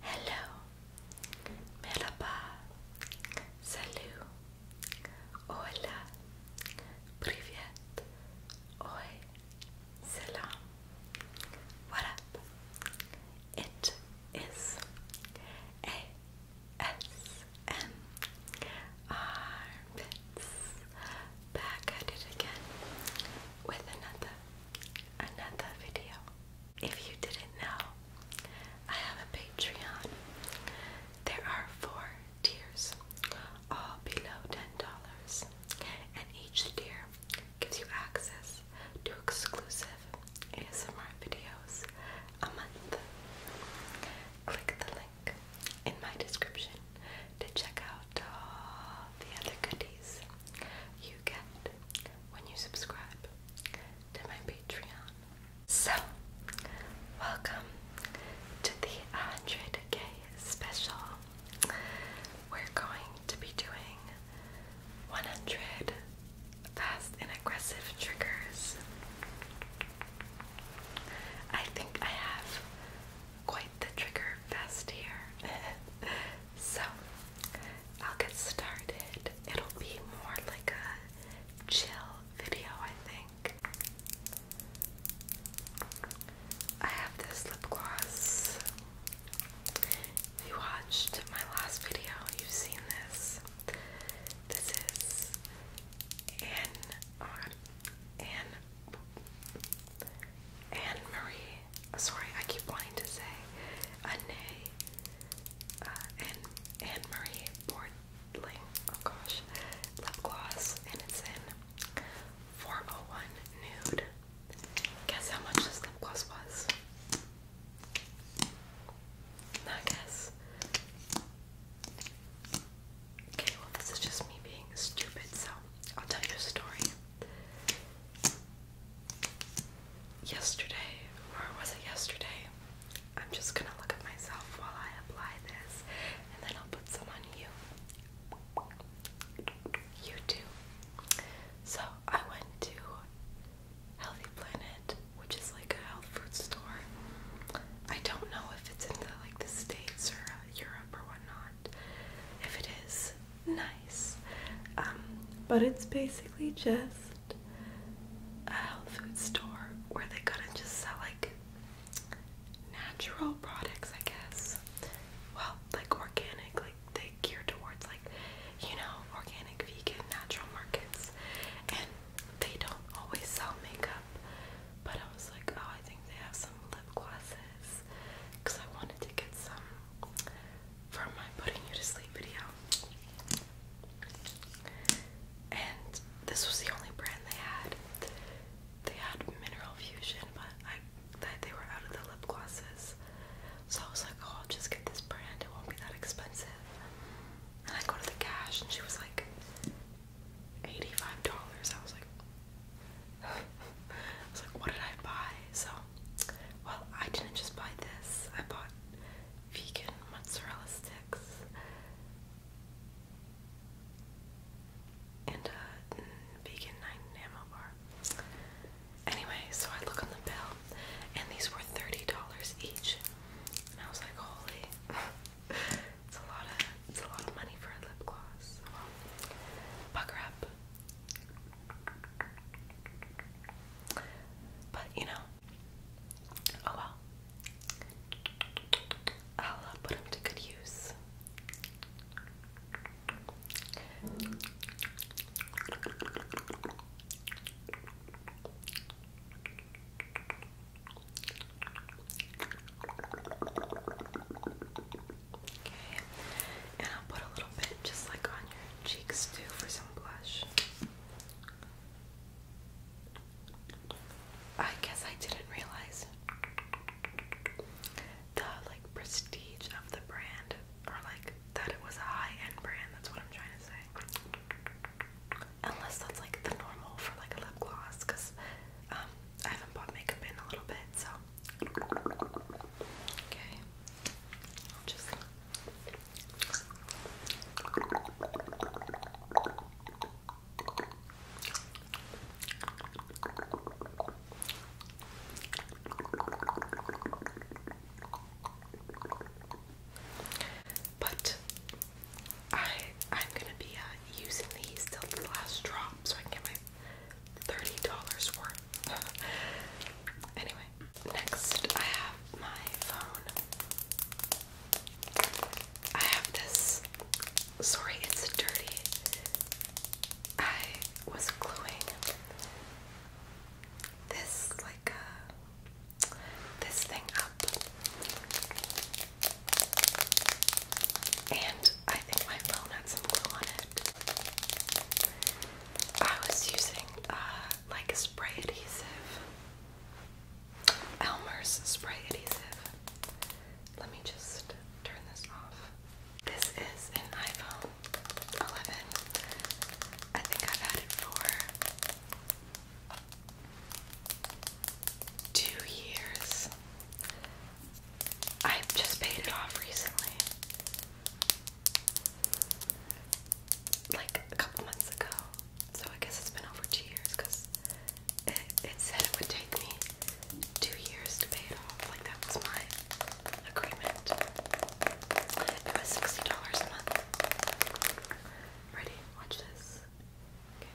Hello, merhaba, salut, hola, privet, oi, salam, what up? It is a s m back at it again with another another video. If you didn't know, I have a Patreon. There are four tiers, all below $10, and each tier gives you access to exclusive ASMR videos a month. Click the link in my description to check out all the other goodies you get when you subscribe to my Patreon. So, welcome to the 100k special. We're going to be doing 100 fast and aggressive triggers. I think I have quite the trigger fest here. so, I'll get started. It'll be more like a chill video, I think. I have this lip gloss. If you watched my last video, you've seen this. This is Anne, uh, Anne, Anne Marie uh, sorry, I keep wanting to say Anne uh, and Anne Marie Bordling. Oh gosh, lip gloss, and it's in 401 nude. Guess how much this lip gloss was? I guess. Okay, well this is just me being stupid, so I'll tell you a story yesterday, or was it yesterday? I'm just gonna look at myself while I apply this and then I'll put some on you. You too. So I went to Healthy Planet, which is like a health food store. I don't know if it's in the like the States or uh, Europe or whatnot. If it is, nice. Um, but it's basically just a health food store where they kind of just sell like natural products, I guess. Well, like organic, like they geared towards like, you know, organic, vegan, natural markets. And they don't always sell makeup. But I was like, oh, I think they have some lip glosses. Because I wanted to get some from my putting you to sleep video. And this was the only brand they had. They had Mineral Fusion, but I that they were out of the lip glosses. So I was like, oh, I'll just get this brand. It won't be that expensive. And I go to the cash, and she was like, eighty-five dollars. I was like, I was like, what did I buy? So, well, I didn't just buy this. I bought vegan mozzarella sticks and a uh, vegan nine ammo bar. Anyway, so I look on the bill and these were $30 each. And I was like, holy it's a lot of it's a lot of money for a lip gloss. Well, up. But you know, oh well. I'll uh, put them to good use. Okay, and I'll put a little bit just like on your cheeks too for some blush. I guess I didn't realize the like prestige of the brand or like that it was a high-end brand, that's what I'm trying to say. Unless that's like the normal for like a lip gloss cuz um I haven't bought makeup in a little bit, so Okay. just but I I'm gonna be uh, using these till the last drop so I can get my $30 worth. anyway, next I have my phone. I have this. Sorry, it's dirty. I was gluing this like uh, this thing up, and I think my phone had some glue on it. I was using uh, like spray adhesive. Elmer's spray adhesive. Let me just turn this off. This is an iPhone 11. I think I've had it for two years. I just paid it off recently like a couple months ago. So I guess it's been over two years because it, it said it would take me two years to pay it off. Like that was my agreement. It was sixty dollars a month. Ready? Watch this. Okay.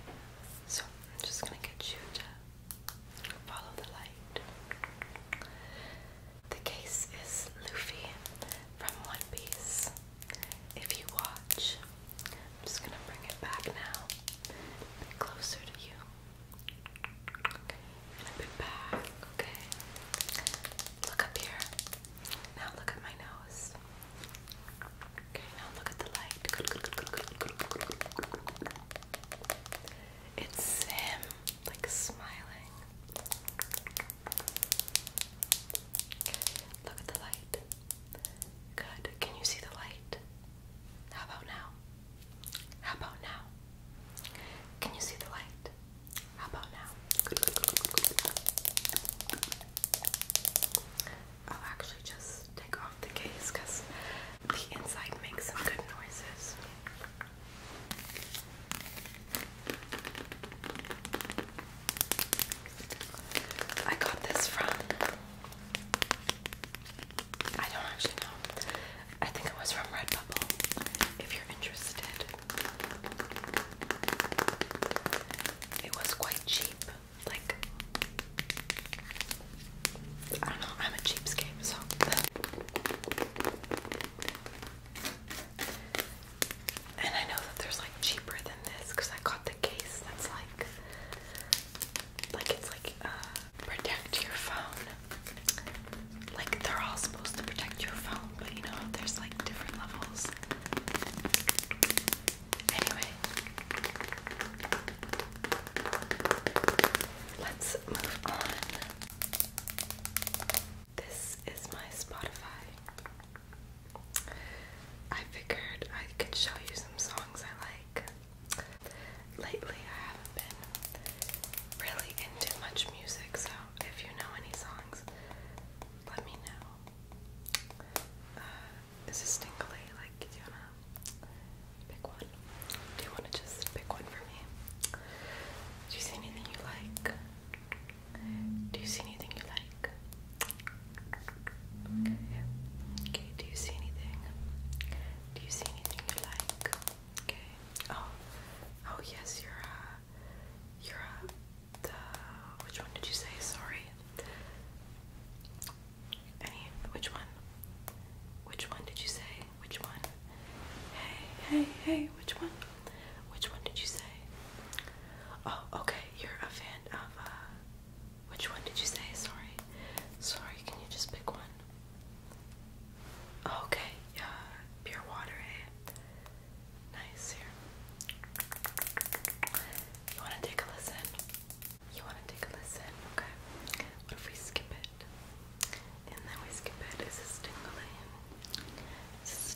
So I'm just gonna get you to follow the light. The case is Luffy from One Piece. If you watch, I'm just gonna bring it back now, a bit closer to you. And a bit back, okay? Look up here. Now look at my nose. Okay, now look at the light. It's him, like smiling. Look at the light. Good. Can you see the light? How about now? How about now? Can you see the light? How about now? I'll actually just take off the case because the inside makes some good noises. I got this from I don't actually know. I think it was from Redbubble. If you're interested, it was quite cheap. Like I don't know. I'm a cheapskate, so. And I know that there's like cheaper than this because I got the case that's like, like it's like uh, protect your phone. Like they're all supposed to protect your phone, but you know there's like different levels. Anyway, let's move on. This is my Spotify. I figured I could show you some songs I like. Lately, I haven't been really into much music, so if you know any songs, let me know. Uh, is this tingly? Like, do you wanna pick one? Do you wanna just pick one for me? Do you see anything you like? Do you see anything you like? Okay, do you see anything? Do you see anything you like? Okay. Oh, oh yes, you're uh, you're uh, the which one did you say? Sorry. Any? Which one? Which one did you say? Which one? Hey, hey, hey! Which one? Which one did you say? Oh, okay. You're a fan of uh which one did you say? Sorry. Sorry, can you just pick one? Oh, okay, yeah, pure water, eh? Nice here. You wanna take a listen? You wanna take a listen? Okay. What if we skip it? And then we skip it. Is this tingly? Is this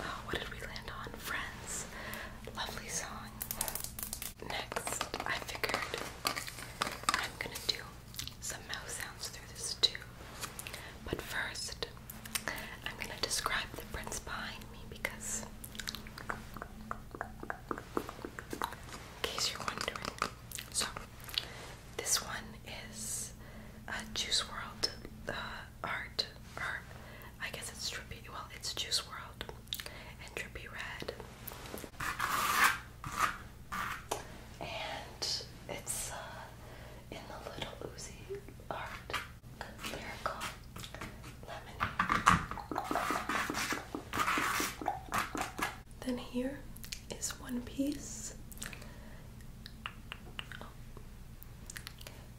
Oh, what did we land on? Friends. Lovely song. Next, I figured I'm gonna do some mouse sounds through this too. But first, I'm gonna describe the prints behind me because, in case you're wondering. So, this one is a Juice World uh, art, or I guess it's Trippy, well, it's Juice World and Trippy Red. And it's uh, in the Little Uzi art. Miracle Lemon. Then here is One Piece.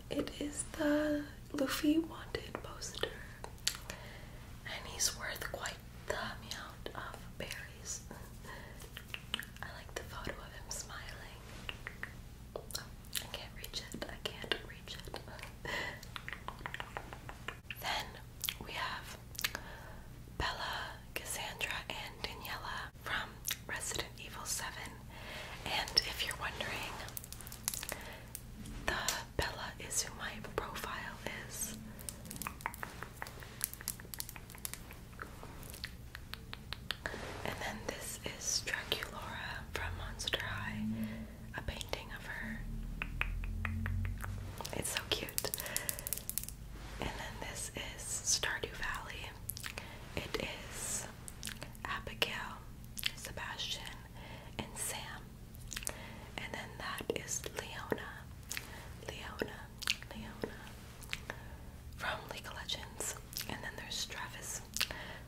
It is the Luffy Wanted poster, and he's worth quite the amount of berries. I like the photo of him smiling. I can't reach it. I can't reach it. then we have Bella, Cassandra, and Daniela from Resident Evil 7. And if you're wondering, the Bella is who my profile is. And then this is Draculaura from Monster High, a painting of her. It's so cute. And then this is Stardew Valley. It is Abigail, Sebastian, and Sam. And then that is Leona. Leona, Leona from League of Legends. And then there's Travis,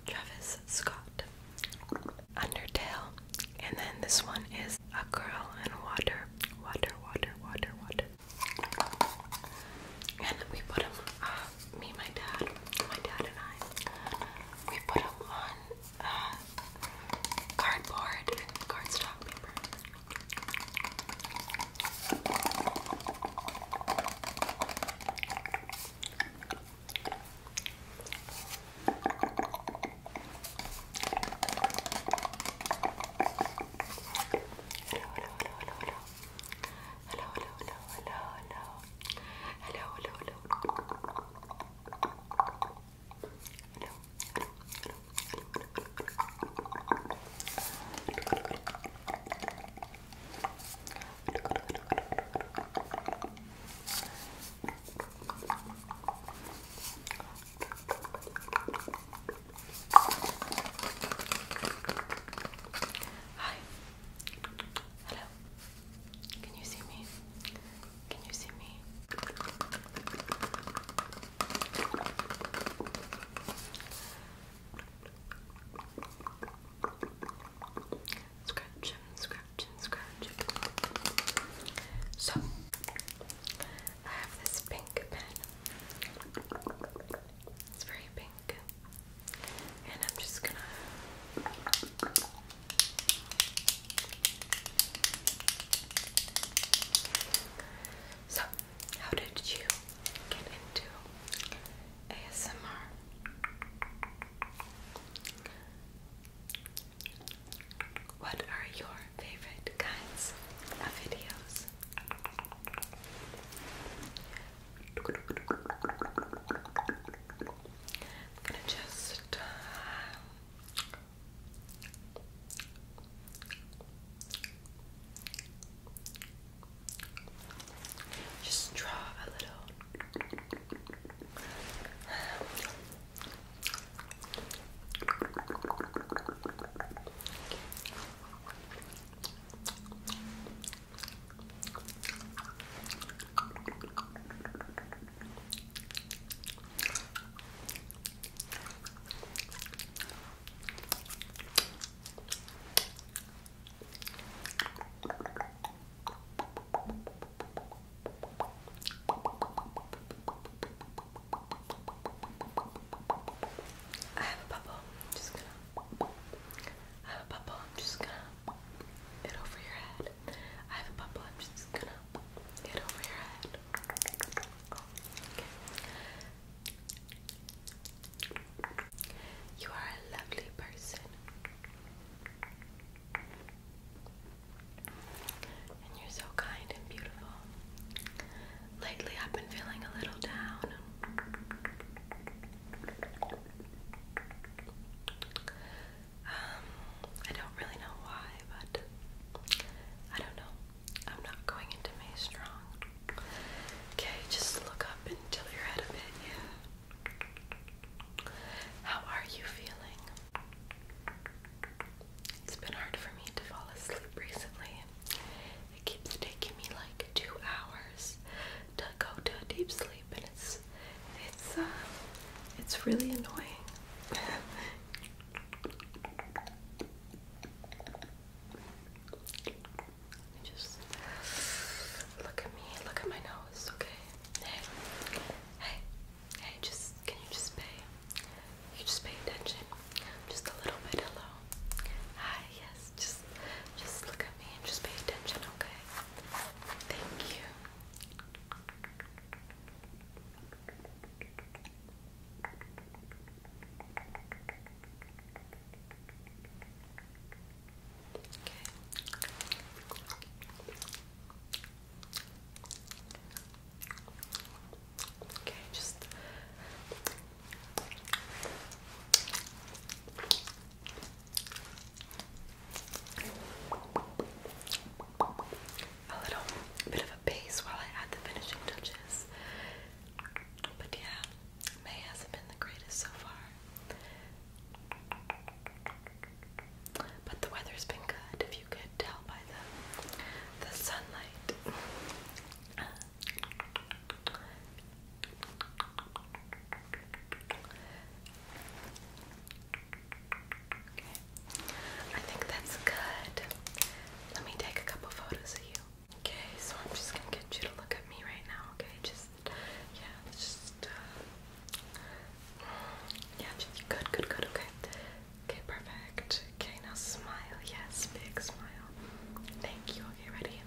Travis Scott, Undertale. And then this one is a girl in water, water, water, water, water. And we put them ah, me, my dad, my dad and I, we put them on uh, cardboard and cardstock paper. Hello, hello, hello, hello, hello. Hello, hello, hello. Hi. Hello. Can you see me? Can you see me? Scratch, scratch, scratch. So, I have this pink pen. It's very pink pink. And I'm just gonna. So, how did you get into ASMR? What are your favorite kinds of videos? I'm gonna just. Uh, just draw a little I have a bubble. I'm just gonna. I have a bubble. I'm just gonna it over your head. I have a bubble, I'm just gonna get over your head. You are a lovely person. And you're so kind and beautiful. Lately, I've been feeling a little down. Um, I don't really know why, but I don't know. I'm not going into May strong. Okay, just look up and tilt your head a bit, yeah. How are you feeling? It's been hard for me to fall asleep recently. It keeps taking me like two hours to go to deep sleep and it's it's uh, it's really annoying. Just look at me, look at my nose, okay? Hey, hey, hey, just can you just pay? You just pay attention. Just a little bit, hello. Hi, yes, just just look at me and just pay attention, okay? Thank you. Okay. Okay, just a little bit of a base while I add the finishing touches. But yeah, May hasn't been the greatest so far. But the weather's been good, if you could tell by the the sunlight. Okay. I think that's good. Let me take a couple photos of you. Okay, so I'm just gonna get you to look at me right now, okay? Just, yeah, just, uh, yeah, just good, good, good, okay. Okay, perfect. Okay, now smile, yes, big smile. Thank you, okay, ready?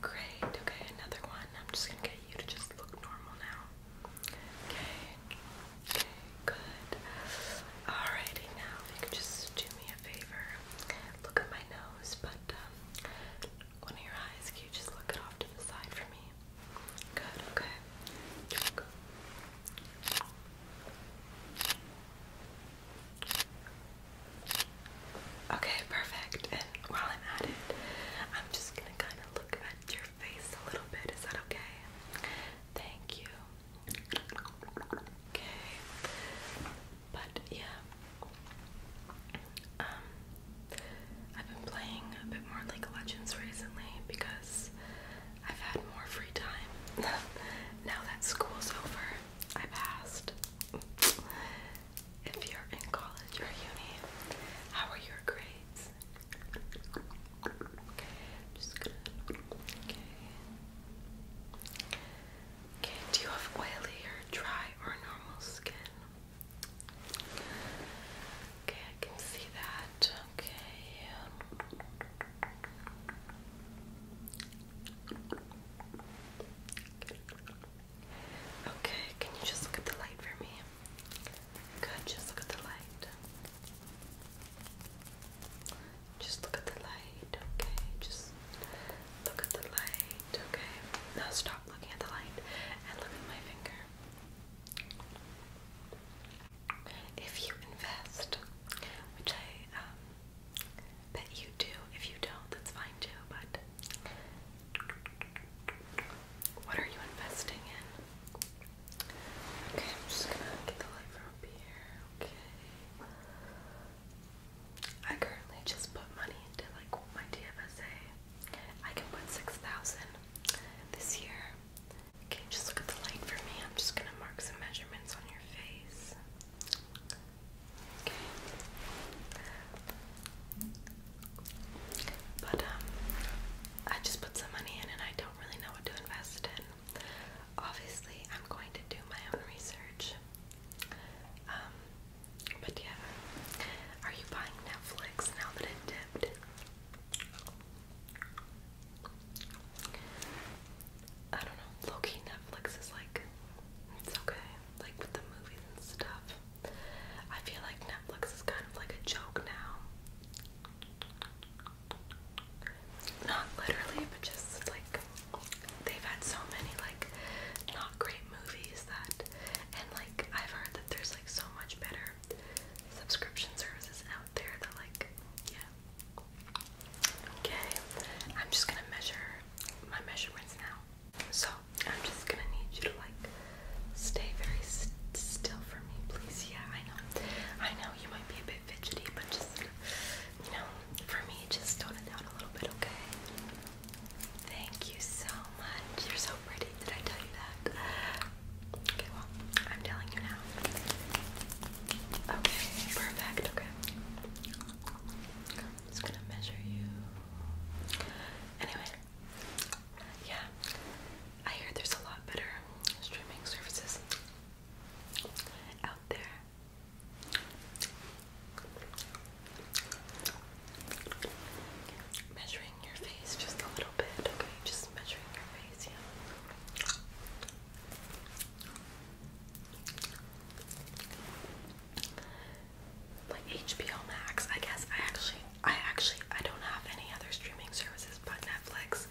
Great, okay, another one. I'm just gonna get you to just look normal now. Okay, okay, good. Alrighty, now if you could just do me a favor. Look at my nose, but um, one of your eyes, can you just look it off to the side for me? Good, okay. Good. Okay, perfect. And while I'm at it, I'm just gonna kind of look at your face a little bit. Is that okay? Thank you. Okay. But yeah. Um I've been playing a bit more League of Legends recently because I've had more free time. now that school's over, I passed if you're in college or uni, how are your grades? Okay, Okay. Okay, do you have oily or dry or normal skin? Okay, I can see that. Okay. Okay, can you just look at the light for me? Good, just look at the light. Just look at the light, okay? Just look at the light, okay? Now stop looking at the light and look at my finger. If you invest, which I um, bet you do, if you don't, that's fine too, but what are you investing in? Okay, I'm just gonna get the light from up here. Okay. I currently just put money into like my DFSA. I can put six thousand this year. Okay, just look at the light for me. I'm just gonna mark some measurements on your face. But um I just put some money in and I don't really know what to invest in. Obviously I'm going to do my own research. Um but yeah. Are you buying Netflix now that it dipped? I don't know. Low Netflix is like it's okay like with the movies and stuff. I feel like Netflix is kind of like a joke now. Not literally, but just like they've had so many like not great movies that and like I've heard that there's like so much better subscription services out there that like yeah. Okay, I'm just gonna measure my measurements now. So I'm just gonna need you to like stay very still for me, please. Yeah, I know. I know you might be a bit fidgety, but just you know, for me, just tone it down a little bit, okay? Thank you so much. You're so pretty. Did I tell you that? Okay, well, I'm telling you now. Okay, perfect. Okay. I'm just gonna measure you. Anyway, yeah, I hear there's a lot better streaming services out there. Measuring your face just a little bit, okay? Just measuring your face, like HBO Max. I guess I actually, I actually, I don't have any other streaming services but Netflix.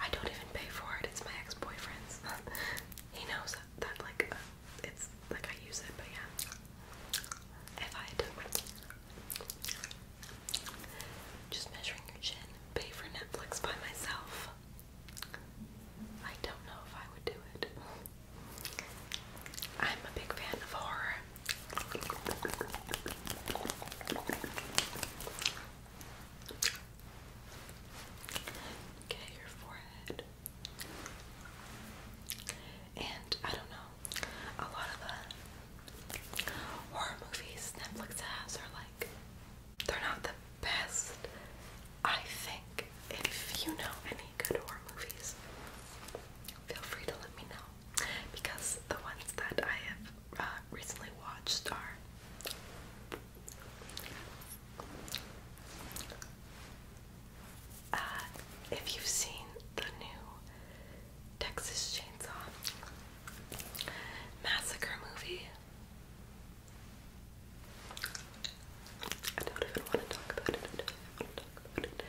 I don't even pay for it. It's my ex-boyfriend's. he knows that, like, it's like I use it, but yeah. If I just measuring your chin, pay for Netflix by myself. I don't know if I would do it. I'm a big fan of horror. Okay, your forehead. And I don't know, a lot of the horror movies Netflix has are like, they're not the best. I think if you know any good horror movies, feel free to let me know because the ones that I have uh, recently watched are uh, if you've seen the new Texas Chainsaw Massacre movie. I don't even want to talk about it.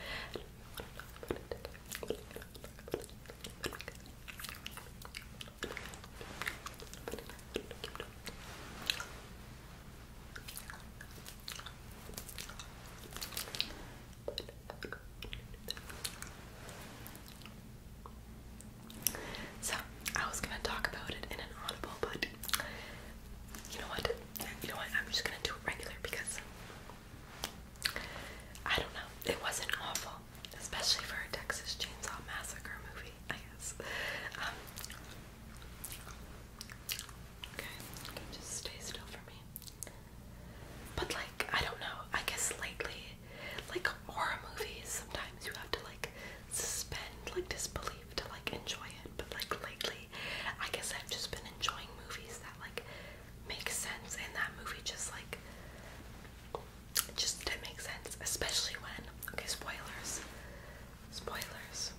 So, I was gonna talk about it in an audible, but you know what? You know what? I'm just gonna do it regular because I don't know. It wasn't awful, especially for a Texas Chainsaw Massacre movie, I guess. Um, okay, just stay still for me. But like, I don't know. I guess lately, like horror movies, sometimes you have to like suspend like disbelief to like enjoy it. But like lately, I guess I've just been enjoying movies that Makes sense and that movie just like it just didn't make sense, especially when okay spoilers. Spoilers.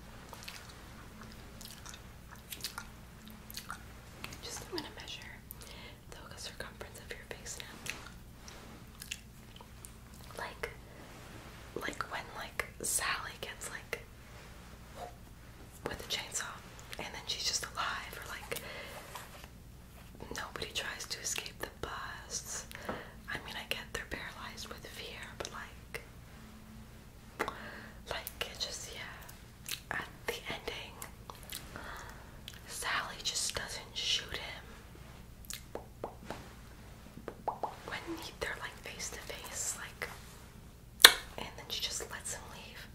Just I'm gonna measure the circumference of your face now. Like like when like Sally gets like with a chainsaw, and then she's just alive, or like nobody tries to escape the bus. I mean, I get they're paralyzed with fear, but like, like it just yeah. At the ending, Sally just doesn't shoot him when he, they're like face to face, like and then she just lets him leave.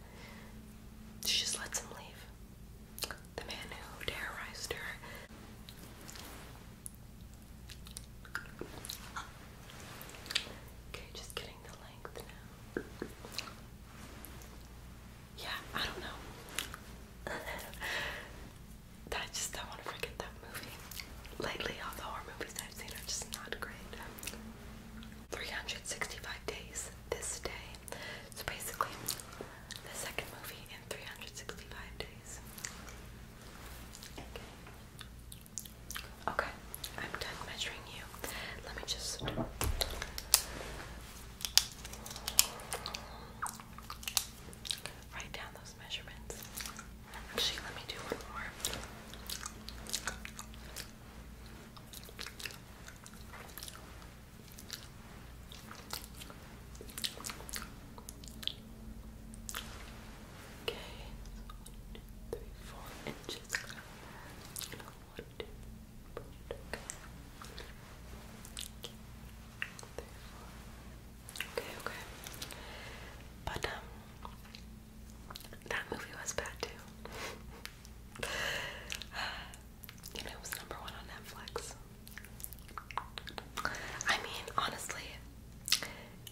She just lets him leave. The man who terrorized her. Okay, just getting the length now. Yeah, I don't know. I just don't want to forget that movie. Lately, all the horror movies I've seen are just not great. 365 days this day. So basically, the second movie in 365 days. Okay, I'm done measuring you. Let me just. Write down those measurements. Actually, let me do one more. Okay, one, two, three, four inches. One, two, four, okay. Okay, Okay, okay. Um, that movie was bad too. it was number one on Netflix. I mean, honestly,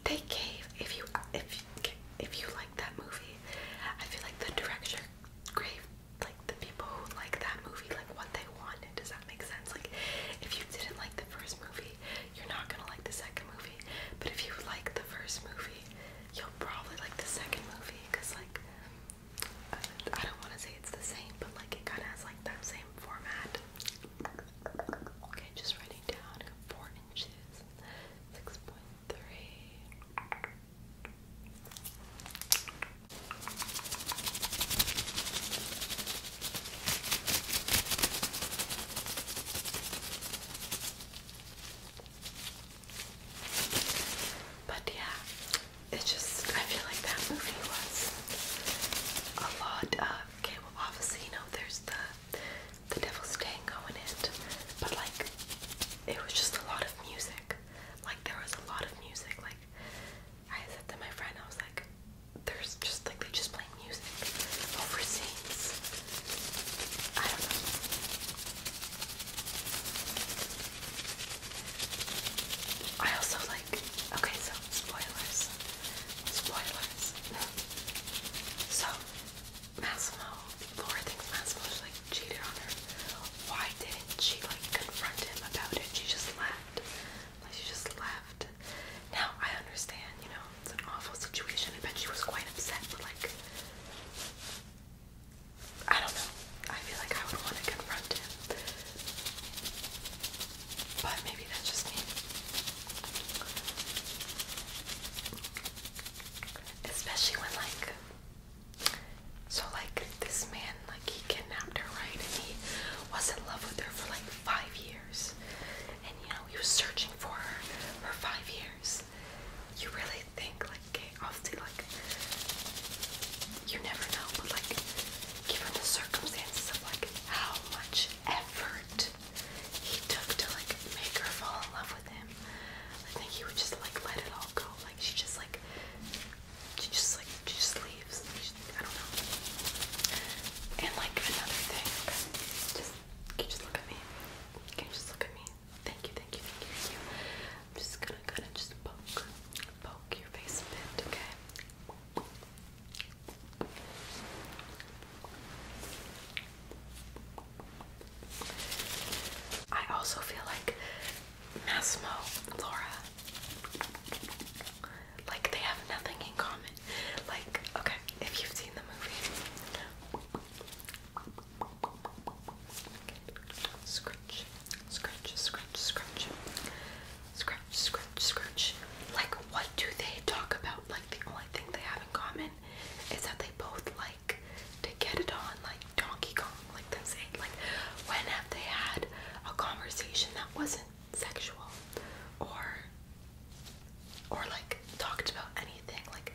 they gave if you if if you like that movie, I feel like the director gave like the people who like that movie like what they wanted. Does that make sense? Like, if you didn't like the first movie, you're not gonna like the second movie. But if you like the first movie, you'll probably like the second movie because, like, I don't want to say it's the same, but like it kind of has like that same format. Okay, just writing down four inches, six point three. But yeah, it's just, I feel like that movie was a lot of, okay, well you know, there's the, the Devil's Tango in it, but like, it was just a lot of music. Like, there was a lot of music. Like, I said to my friend, I was like, there's just, like, they just play music over scenes. I don't know. I also like, okay, so spoilers. Spoilers. so, Massimo, Laura thinks Massimo just like cheated on her. Why didn't she like confront him about it? She just left. Like, she just left. Now, I understand, you know, it's an awful situation. I bet she was quite upset, but like, I don't know. I feel like I would want to confront him. But maybe that's just me. Especially when like so like this man like he kidnapped her right and he was in love with her for like five years and you know he was searching for her for five years you really think like obviously like you never know, but like given the circumstances of like how much effort he took to like make her fall in love with him, I think he would just like let it all go. Like she just like she just like she just leaves. I don't know. And like another thing, okay, can you just look at me? Can you just look at me? thank you, thank you, thank you, thank you. I'm just gonna kind of just poke, poke your face a bit, okay? I also feel like Massimo, Laura, like they have nothing in common. Like, okay, if you've seen the movie, Scratch, scratch, scratch, scratch, scratch, scratch, scratch. Like, what do they talk about? Like, the only thing they have in common is that they both like to get it on, like Donkey Kong. Like, that's it. Like, when have they had a conversation that wasn't sexual or or like talked about any like,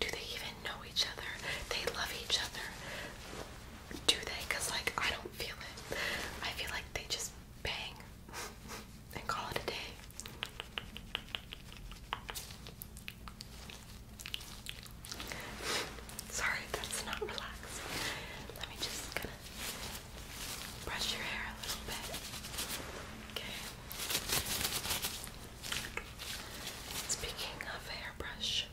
do they even know each other? They love each other. Do they? Because, like, I don't feel it. I feel like they just bang and call it a day. Sorry, that's not relaxed. Let me just brush your hair a little bit. Okay. Speaking of hairbrush,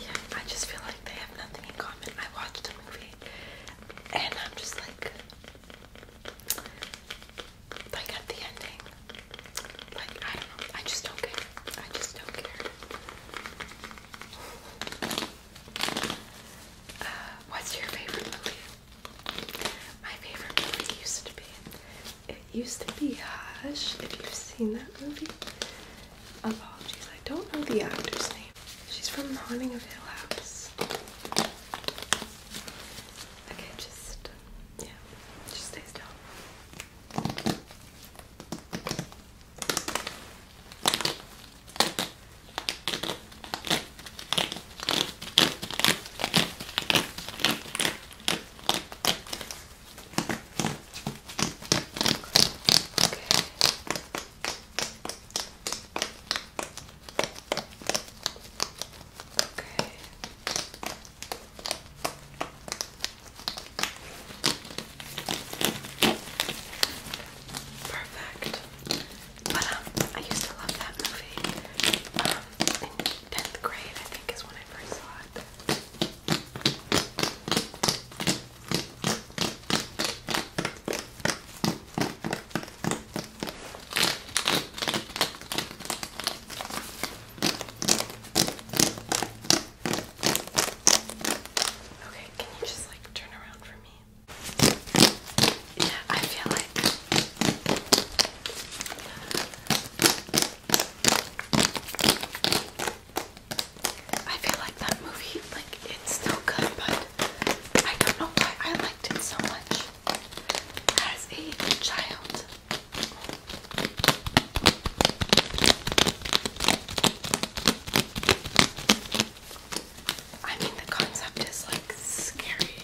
yeah, I just feel like they have nothing in common. I watched a movie and I'm just like, like at the ending, like I don't know, I just don't care. I just don't care. Uh, what's your favorite my favorite movie used to be. It used to be Hush. If you've seen that movie, apologies. I don't know the actor's name. She's from Haunting of Hill House. Okay, just yeah, just stay still. Perfect. But um, I used to love that movie. Um, and 10th grade, I think, is when I first saw it. Okay, can you just like turn around for me? Yeah, I feel like I feel like that movie, like it's still good, but I don't know why I liked it so much as a child. I mean, the concept is like scary.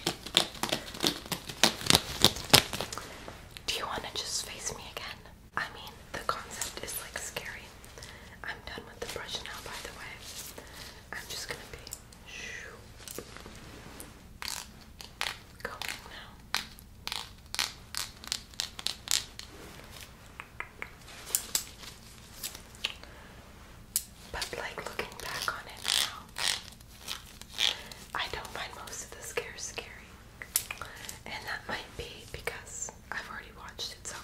Do you want to just face me again? I mean, the concept is like scary. I'm done with the brush now, by the way. I'm just gonna be going now. But like looking back on it now, I don't find most of the scares scary. And that might be because I've already watched it, so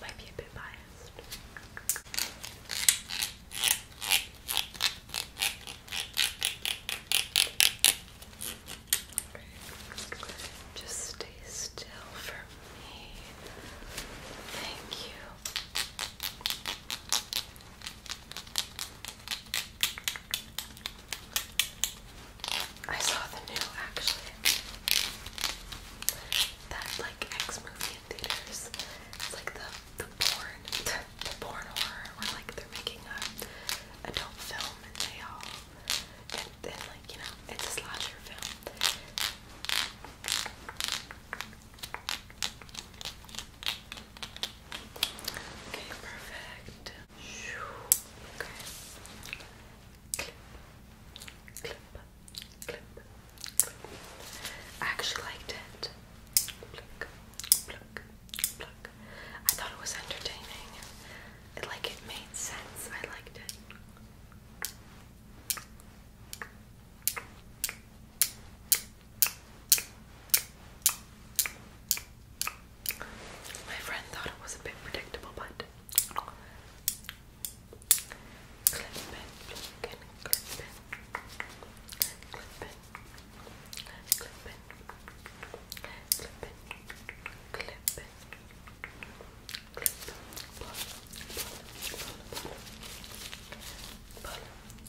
might be a bit biased. Just stay still for me. Thank you. I saw the new actually. That like X movie in theaters. It's like the the porn the porn horror where like they're making a adult film and they all and then like, you know, it's a slasher film. Okay, perfect. Okay. Clip, clip, clip, clip. I actually liked it. Pluck, pluck, pluck. I thought it was entertaining. like it made sense. I liked it. My friend thought it was a bit predictable, but clip it, clip it, clip it, clip it, clip it, clip it, clip it, clip it, pull, pull, pull, pull, pull, Let's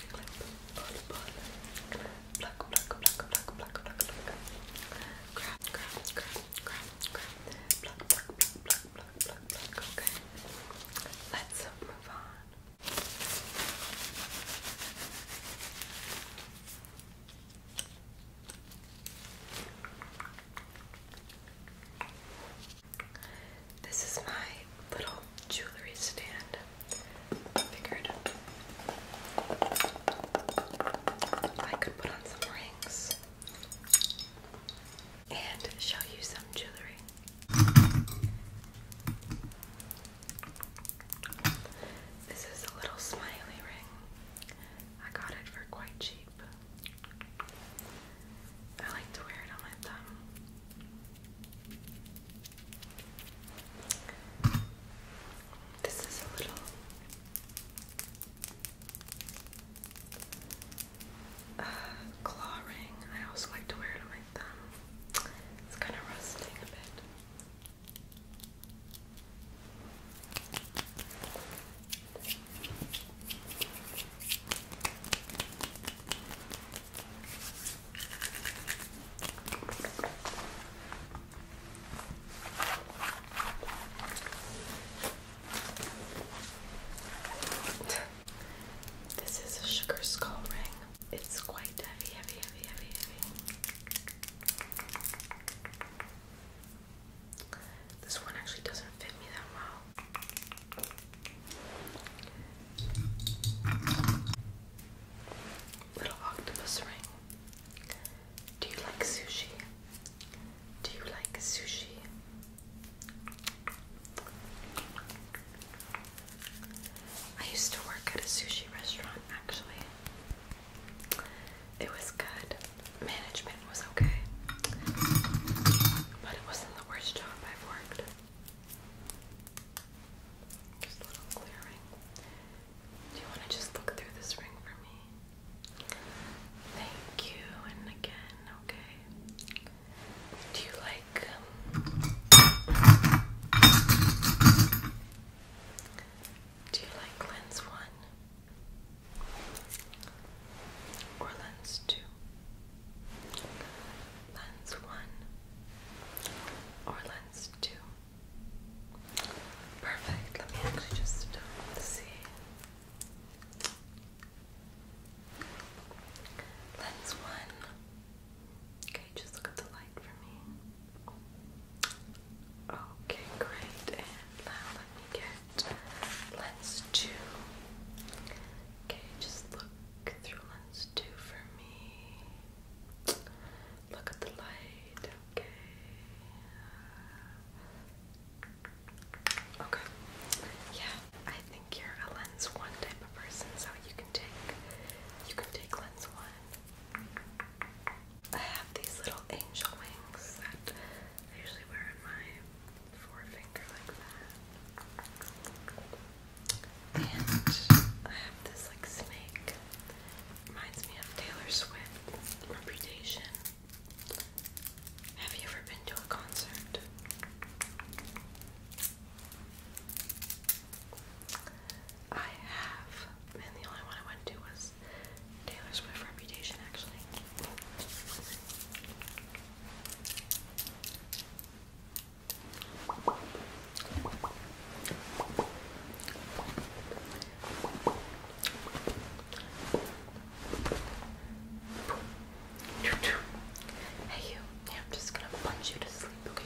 move on. This is my little jewelry stand figured I could put on some rings and show you some jewelry. This is a little smiley ring. I got it for quite cheap. I like to wear it on my thumb. This is a little uh, claw ring. I also like to wear it on my thumb. It's kind of rusting a bit. This is a sugar skull ring. It's quite heavy, heavy, heavy, heavy, heavy. This one actually doesn't fit me that well. Little octopus ring. Do you like sushi? Do you like sushi? I used to work at a sushi restaurant actually. It was good. Management was okay. But it wasn't the worst job I've worked. Do you want to just look through this ring for me? Thank you, and again, okay. Do you like um, Do you like lens one or lens two? Lens one or lens two? Perfect. Let me actually just um, see. Lens one. Okay, just look at the light for me. Okay, great. now let me get lens two. Okay, just look through lens two for me. Look at the light. Okay. Okay. Yeah, I think you're a lens one type of person, so you can take you can take lens one. I have these little angel wings that I usually wear on my forefinger like that. And I have this like snake. Reminds me of Taylor Swift. Reputation. Have you ever been to a concert? I have. And the only one I went to was Taylor Swift Reputation, actually. Hey you, I'm just gonna punch you to sleep, okay?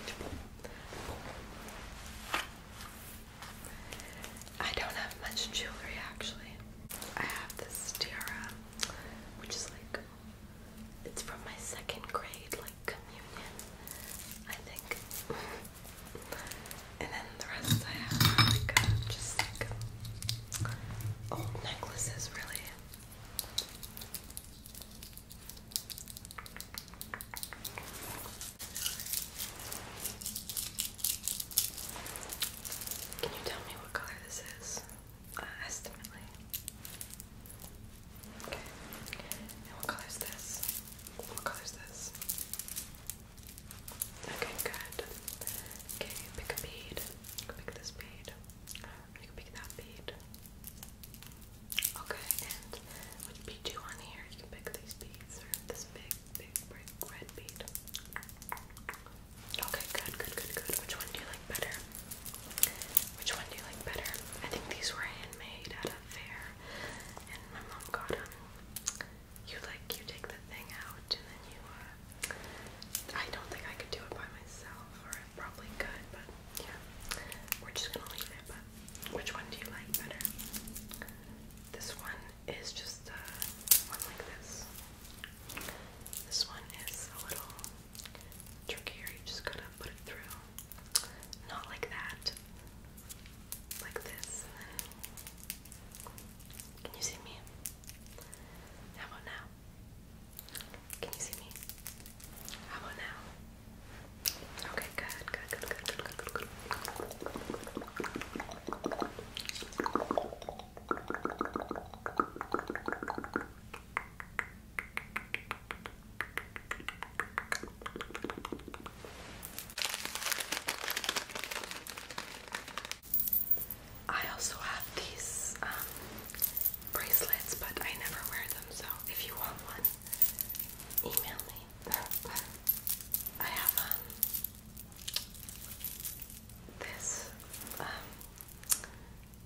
I don't have much jewelry actually. I have this tiara, which is like, it's from my second grade communion, I think. and then the rest I have uh, just like old necklaces, really. Can you tell me what color this is? Uh, estimately. Okay. And what color is this? What color is this? Okay, good. Okay, pick a bead. You pick this bead. You can pick that bead. Okay, and which do you want here? You can pick these beads or this big, big, big red bead. Okay, good, good, good, good. Which one do you like better? Which one do you like better? I think these were handmade affair, and my mom got him. You like you take the thing out, and then you. Uh, I don't think I could do it by myself, or I probably could, but yeah, we're just gonna leave it. But which one do you like better? This one is just uh, one like this. This one is a little trickier. You just gotta put it through. Not like that like this. Can you see me? How about now? Can you see me? How about now? Okay, good, good, good, good, good, good, good, good. I also have these um, bracelets, but I never wear them. So if you want one, email me. I have um, this. Um,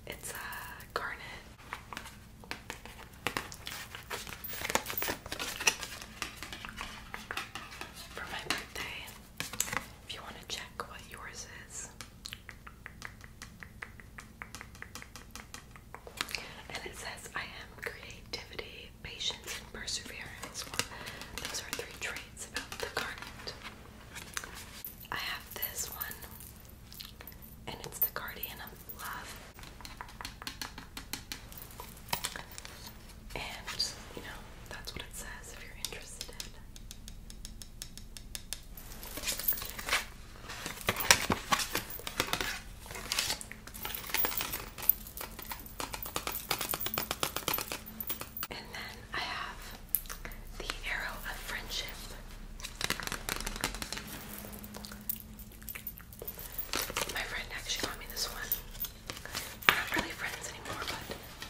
it's a garnet for my birthday. If you want to check what yours is, and it says, I am creativity, patience, and perseverance. those are three traits about the garnet. I have this one, and it's the guardian of and, you know, that's what it says if you're interested. And then I have the Arrow of Friendship. My friend actually got me this one. We're not really friends anymore, but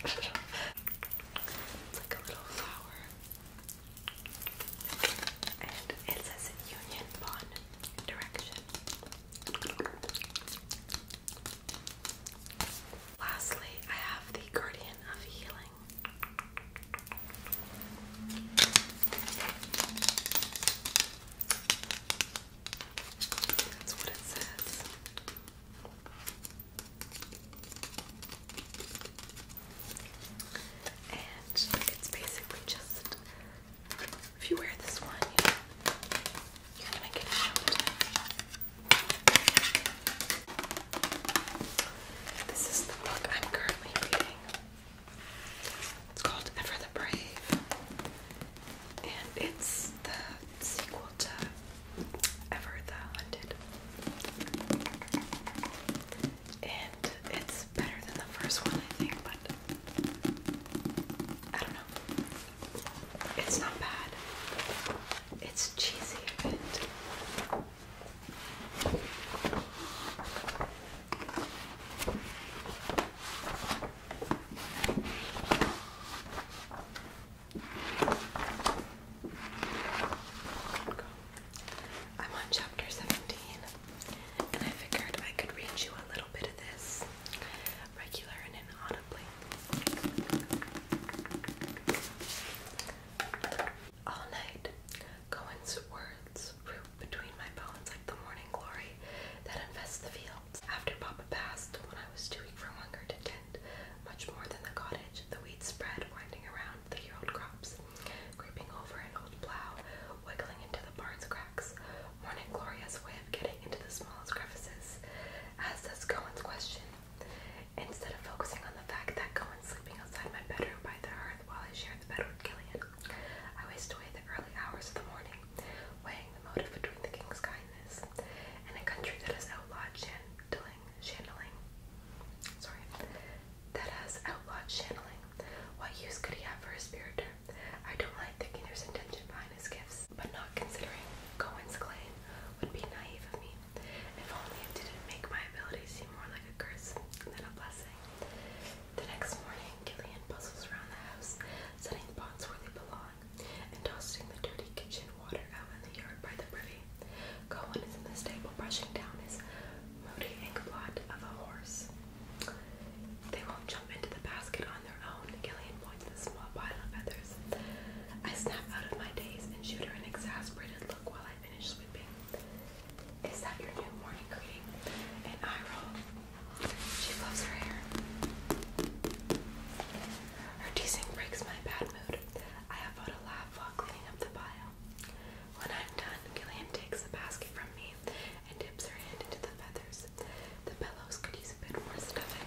it's like a little flower. And it says Union Bond Direction. Lastly, I have the Guardian of Healing. That's what it says. And it's basically just if you wear this one, you know, you can make a shoulder. This is the book I'm currently reading. It's called Ever the Brave, and it's the sequel to Ever the Hunted. And it's better than the first one, I think, but I don't know. It's not bad. It's cheesy I'm on chapter 17, and I figured I could read you a little bit of this regular and inaudibly. All night, Cohen's words between my bones like the morning glory that invests the fields. After Papa passed, when I was too weak for hunger to tend much more than the cottage, the weeds spread, winding around the year-old crops, creeping over an old plow, wiggling into the barn's cracks. Morning glory way of getting into the smallest crevices, as does Cohen's question. Instead of focusing on the fact that Cohen's sleeping outside my bedroom by the hearth while I share the bed with Gillian, I waste away the early hours of the morning weighing the motive between the king's kindness and a country that has outlawed channeling, Sorry, that has outlawed channeling. What use could he have for his spirit? I don't like thinking there's intention behind his gifts, but not considering Cohen's claim would be naive of me. If only it didn't make my abilities seem more like a curse than a blessing. The next morning, Gillian bustles around the house, setting the pots where they belong, and tossing the dirty kitchen water out in the yard by the privy. Cohen is in the stable brushing down his moody inkblot of a horse. They won't jump into the basket on their own, Gillian points to the small pile of feathers. I snap out of my daze and shoot her an exasperated look while I finish sweeping. Is that your new morning greeting? And I roll. She loves her hair. Her teasing breaks my bad mood. I have a laugh while cleaning up the pile. When I'm done, Gillian takes the basket from me and dips her hand into the feathers. The pillows could use a bit more stuffing.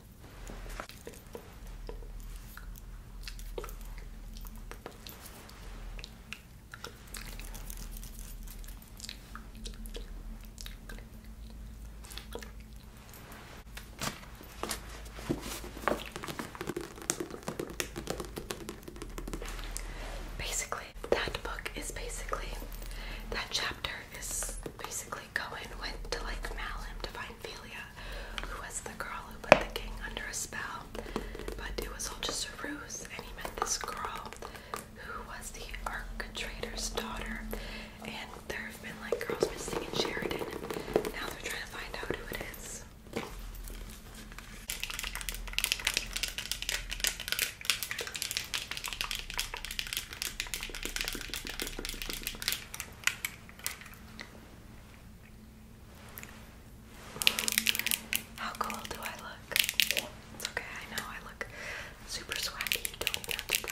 Basically, that book is basically that chapter is basically Cohen went to like Malham to find Ophelia, who was the girl who put the king under a spell, but it was all just a ruse, and he met this girl who was the architrator's daughter, and there have been like girls missing Sheridan, now they're trying to find out who it is. How cool do I look? It's okay, I know I look super swaggy. don't have me.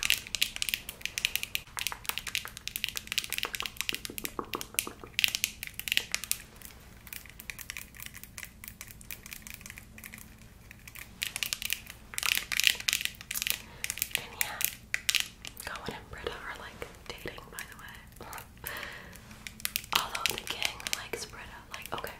yeah, Cohen and Britta are like dating, by the way. Although the gang likes Britta, like, okay.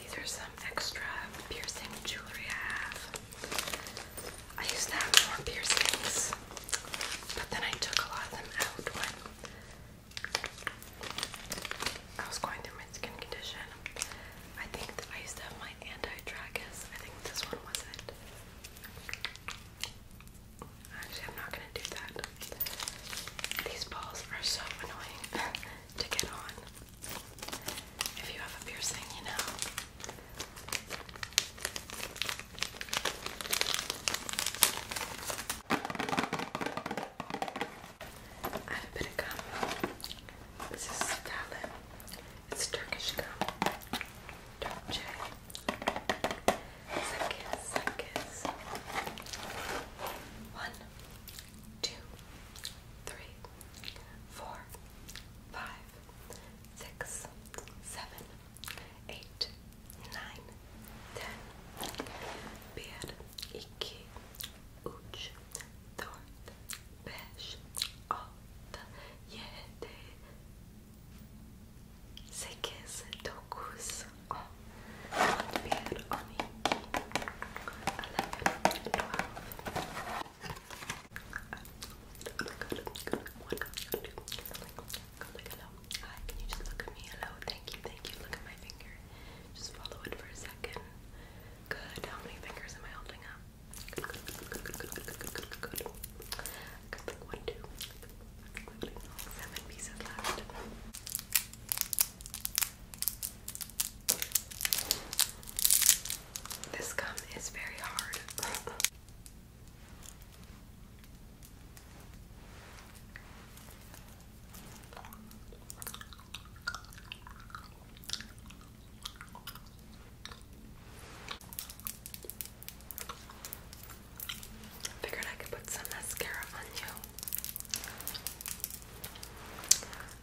These are some extra piercing jewelry I have. I used to have more piercings, but then I took a lot of them out I was going through my skin condition. I think that I used to have my anti-tragus. I think this one was it. Actually, I'm not gonna do that. These balls are so annoying to get on. If you have a piercing, you know, I have a bit This is Stalin. It's Turkish gum. Dolce. Sakis, Sakis. One, two, three, four, five, six, seven eight, nine, ten, bir, iki, üç, dört, beş, altı, yedi, sekiz, dokuz, on, on bir, on iki, eleven, twelve. Hi, can you just look at me? Hello, thank you, thank you. Look at my finger. Just follow it for a second. Good. How many fingers am I holding up? Good, good, good, good, good, good, good, good, good. Got like pieces left. This gum is very hard. Figured I could put some mascara on you.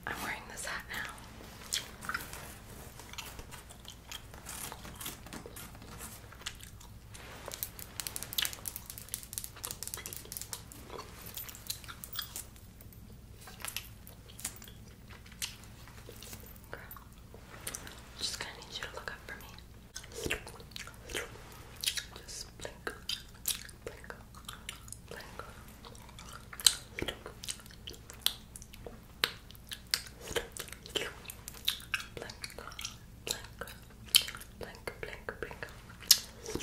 I'm wearing this hat now. Girl, just gonna need you to look up for me blink, blink, blink, blink, blink. Okay,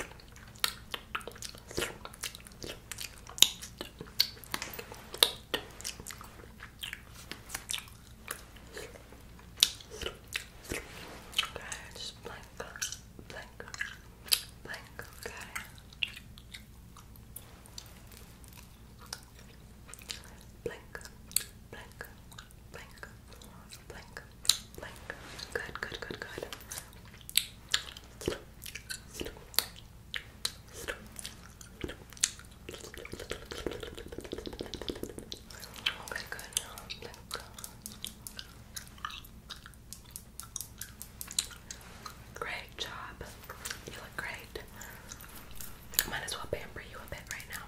just blink, blink, blink, okay. Blink, blink, blink, blink, blink. Good, good, good, good. Slow, slow, slow, good. Great job. You look great. I might as well pamper you a bit right now.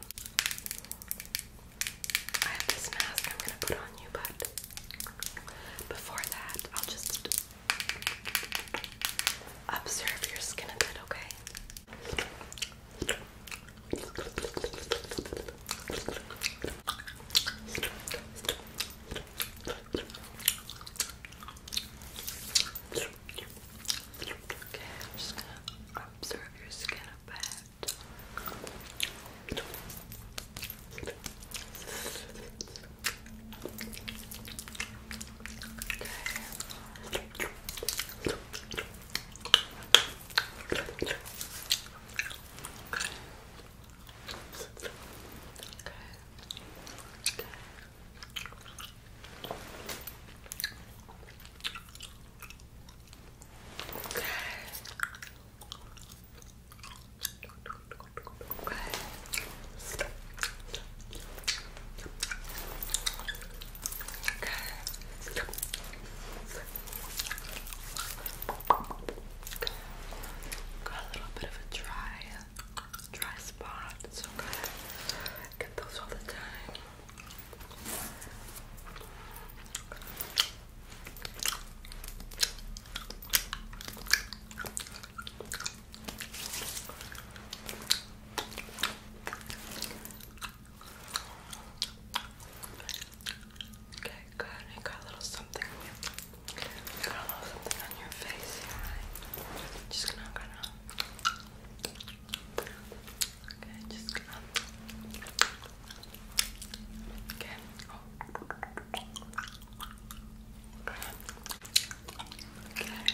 I have this mask I'm gonna put on you, but before that, I'll just observe your skin a bit, okay? Okay, I'm just gonna observe your skin a bit. Okay, okay. Okay. Okay. Okay. Got a little bit of a dry, dry spot. It's okay. get those all the time. Okay, good. You got a little something. on your face. Just gonna, gonna. Okay, just gonna. Okay. Oh. Okay. Okay. Okay. Okay.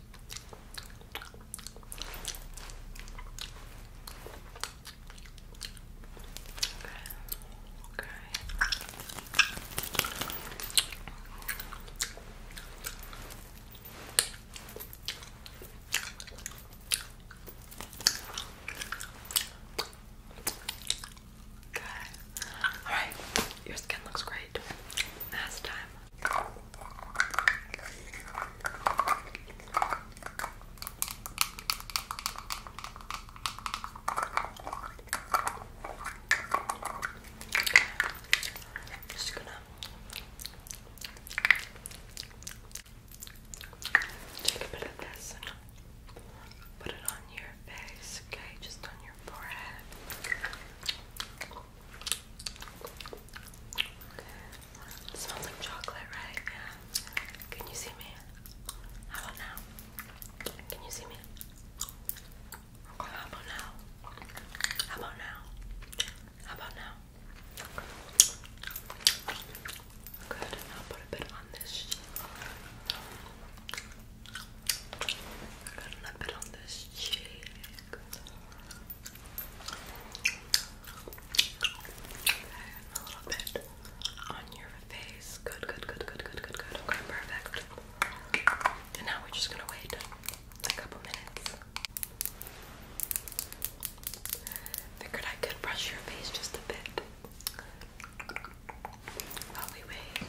Okay. Okay. All right. Your skin looks great. Last time I'm just gonna take a bit of this and put it on your face, okay? Just on your forehead. It smells like chocolate, right? Yeah. Can you see me? How about now? Can you see me? how about now? How about now? How about now? Good. I'll put a bit on this cheek. a bit on this cheek a little bit on your face. Good, good, good, good, good, good, good. Okay, perfect. And now we're just gonna wait a couple minutes. Figured I could brush your face just a bit while we wait.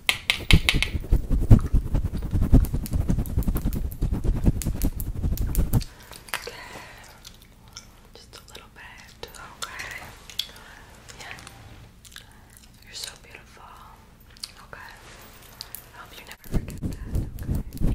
Just a little bit. Okay. Yeah. You're so beautiful. Okay. I hope you never forget that. Okay.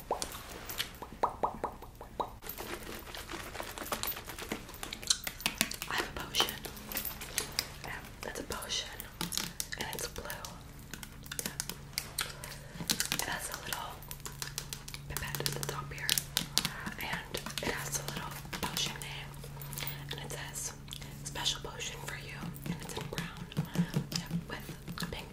I have a potion. Um, that's a potion. And it's blue. It has a little pipette at the top here. And it has a little potion name. And it says special potion for you. And it's in brown the pink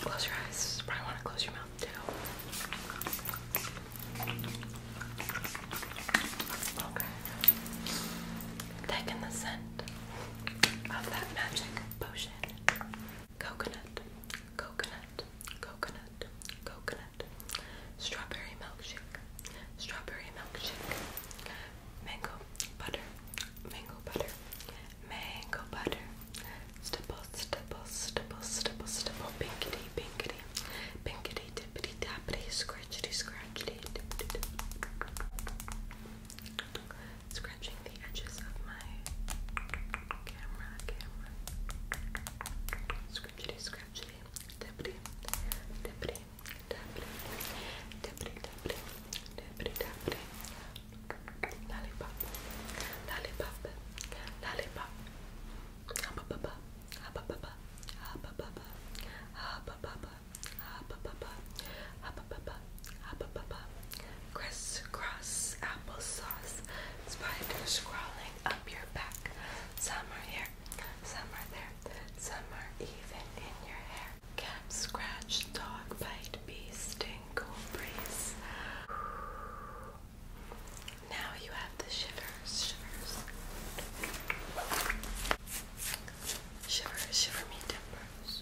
Close your eyes. Probably want to close your mouth too. Okay. Taking the scent of that magic potion. Coconut, coconut, coconut, coconut, strawberry milkshake, strawberry milkshake, mango butter, mango butter, mango butter, stipple, stipple, stipple, stipple, stipple, pinkity, pinkity, pinkity, dippity, tappity, scratchity, scratchity, dippity, scratching the edges of my camera, camera. Scratchity, scratchity, tippity, tippity, tappity, tippity, tappity, tippity, tappity. Lollipop, lollipop, lollipop. Hubba bubba, hubba bubba, hubba bubba, hubba bubba crisscross applesauce. Spiders crawling up your back. Some are here, some are there, some are even in your hair. Cat scratch, dog bite, bee sting, cold breeze. Now you have the shivers, shivers. Shiver, shiver me timbers.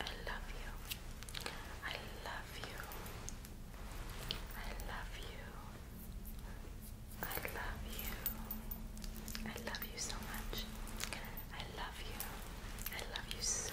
I love you. I love you. I love you. I love you. I love you so much. I love you. I love you so much.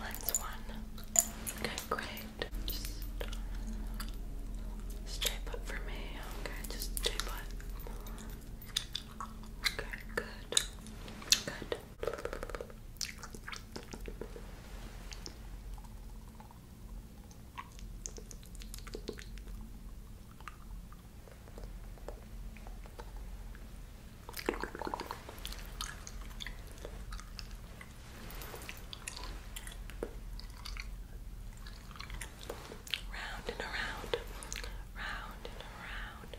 Lens one. Okay, great. Just uh, stay put for me. Okay, just stay put. Okay, good. Good. Okay. Round and around, round and around.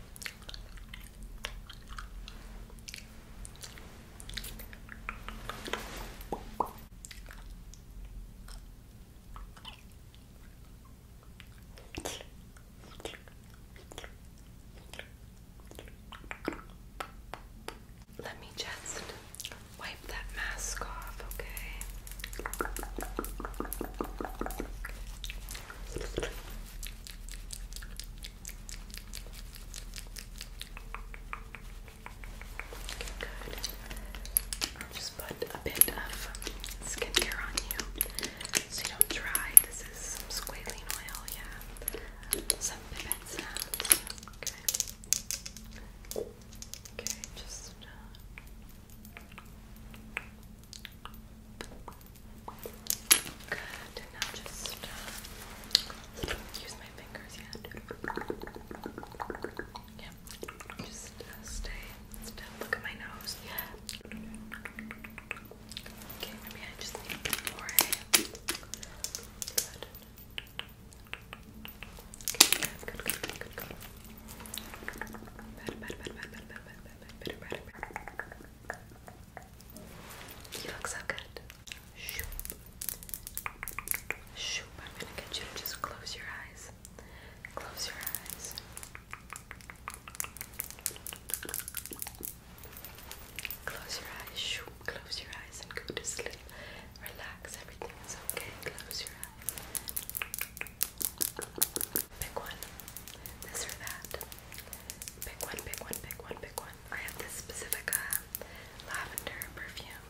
Let me just wipe that mask off, okay? Good just put a bit of skincare on you so you don't dry. This is some squalene oil, yeah. Some pipette sounds. Okay. Okay, just. Uh, good. just uh, use my fingers Yeah. yeah, just uh, stay Look at my nose. Yeah. Okay, maybe I just need more. Good. Okay, good, good, good, good, good. Better, better, better, better, better, You look so good. Shoop. Shoop. I'm gonna get you to just close your eyes. Close your eyes. Close your eyes, close your eyes and go to sleep. Relax, everything is okay. Close your eyes. Pick one. This or that. Pick one, pick one, pick one, pick one. I have this specific uh, lavender perfume.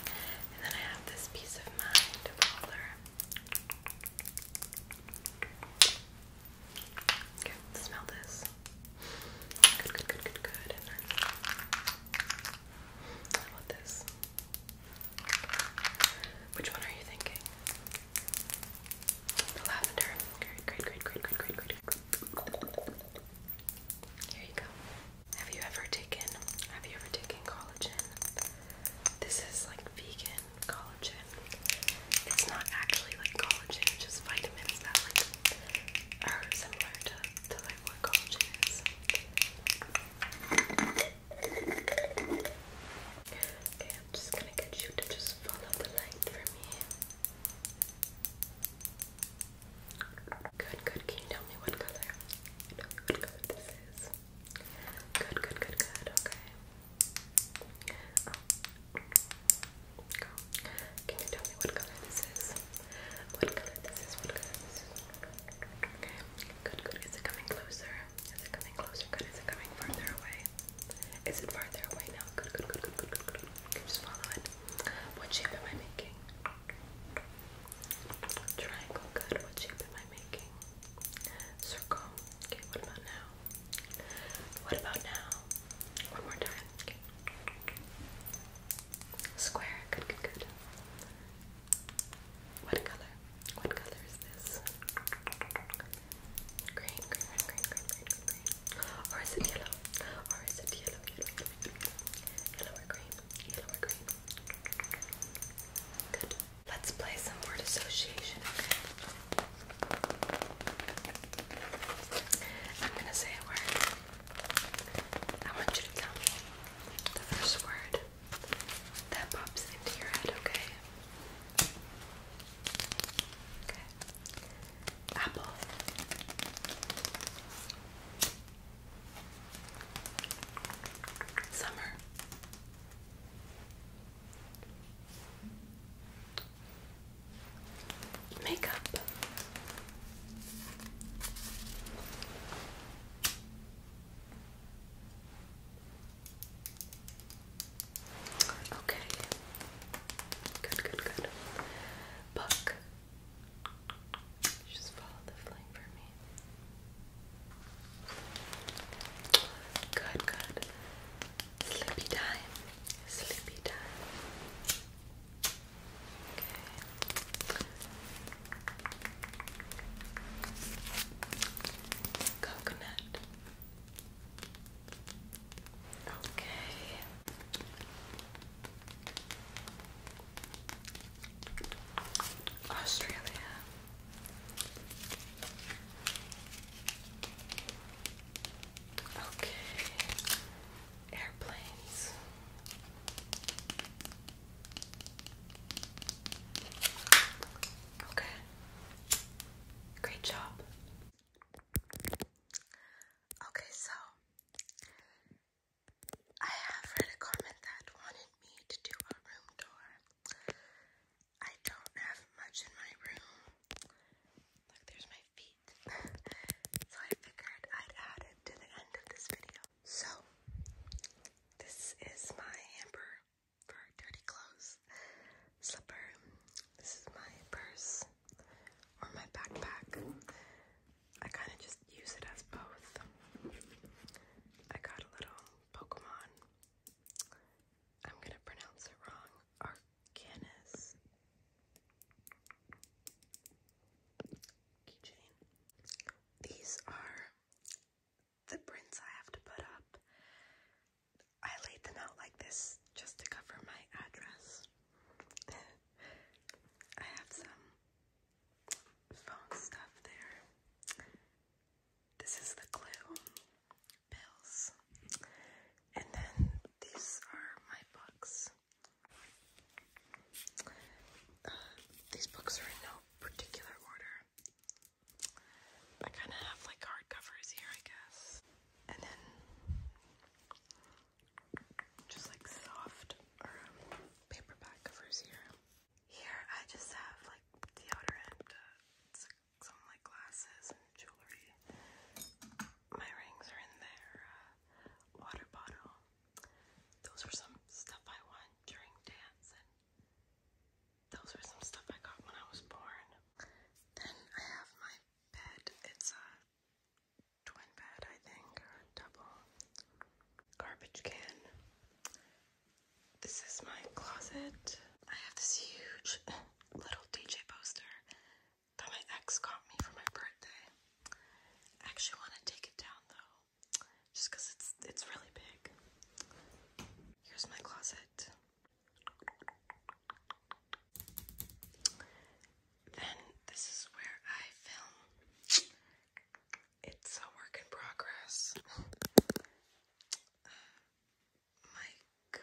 And then I have this peace of mind roller. Okay, smell this. Good, good, good, good, good. And this? Which one are you thinking? The lavender. great, great, great, great, great, great. Here you go. Have you ever taken have you ever taken collagen? This is like vegan collagen. It's not actually like collagen, just vitamins that like are similar to, to like what collagen is. Okay, I'm just gonna get you to just follow the light for me. Good, good. Can you tell me what color? Tell me this is. Good, good, good, good. Okay. Oh. can you tell me what color this is? What color this is? What color this is? Okay. Good, good. Is it coming closer? Is it coming closer? Good. Is it coming further away? Is it farther away now? Good, good, good, good, good, good, good. Okay, What shape am I making? Triangle. Good. What shape am I I making? Circle. Okay, what about now? What about now? One more time. Okay. Square. Good, good, good. What color? What color is this? Green, green, green, green, green, green, green, green. Or is it yellow? Or is it yellow, yellow, yellow, yellow? Yellow or green? Yellow or green? Good. Let's play some word association, I'm gonna say a word. I want you to tell me the first word that pops into your head, okay? Okay. Apple. Summer. Makeup. Okay. Good, good, good. Book. Just follow the flame for me. Good, good. Sleepy time. Sleepy time. Coconut. Okay. Australia. Okay, airplanes. Okay, great job. Okay, so I have read a comment that wanted me to do a room tour. I don't have much in my room. Look, there's my feet. so I figured I'd add it to the end of this video. So, this is my hamper for dirty clothes, slipper. This is my purse or my backpack. I kind of just use it as both. I got a little Pokemon I'm gonna pronounce it wrong. Arcanis keychain. These are the prints I have to put up. I laid them out like this just to cover my address. I have some phone stuff there. This is the clue pills. And then these are my books. these books are in no particular order. I kind of have like hardcovers here, I guess. And then just like soft or um, paperback covers here. Here I just have like deodorant, uh, some like glasses and jewelry. My rings are in there. Uh, water bottle. Those were some stuff I won during dance, and those were some stuff I got when I was born. Then I have my bed. It's a twin bed, I think, or double. Garbage can. This is my closet. I have this huge little DJ poster that my ex got me for my birthday. I actually want to take it down though, just because it's it's really big. Here's my closet. Then this is where I film. It's a work in progress like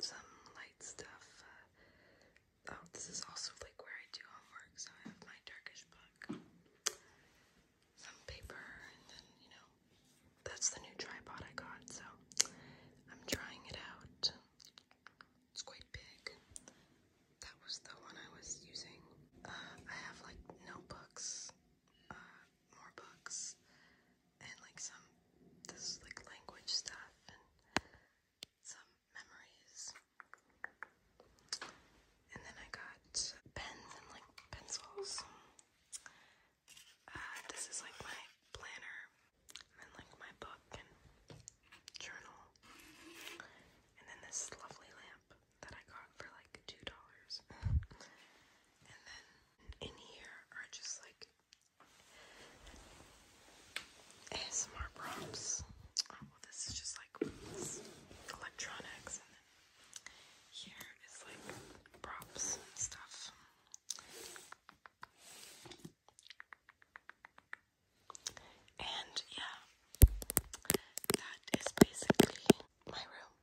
some light stuff. Uh, oh, this is also like where I do homework, so I have my Turkish book, some paper, and then you know, that's the new tripod I got, so I'm trying it out. It's quite big. That was the one I was using. Uh, I have like notebooks. Uh, more books and like some this like language stuff and some memories. And then I got pens and like pencils. Uh, this is like my planner and like my book and journal. And then this lovely lamp that I got for like two dollars. And then in here are just like ASMR props. Oh, well, this is just like electronics, and then here is like props and stuff. And yeah, that is basically my room.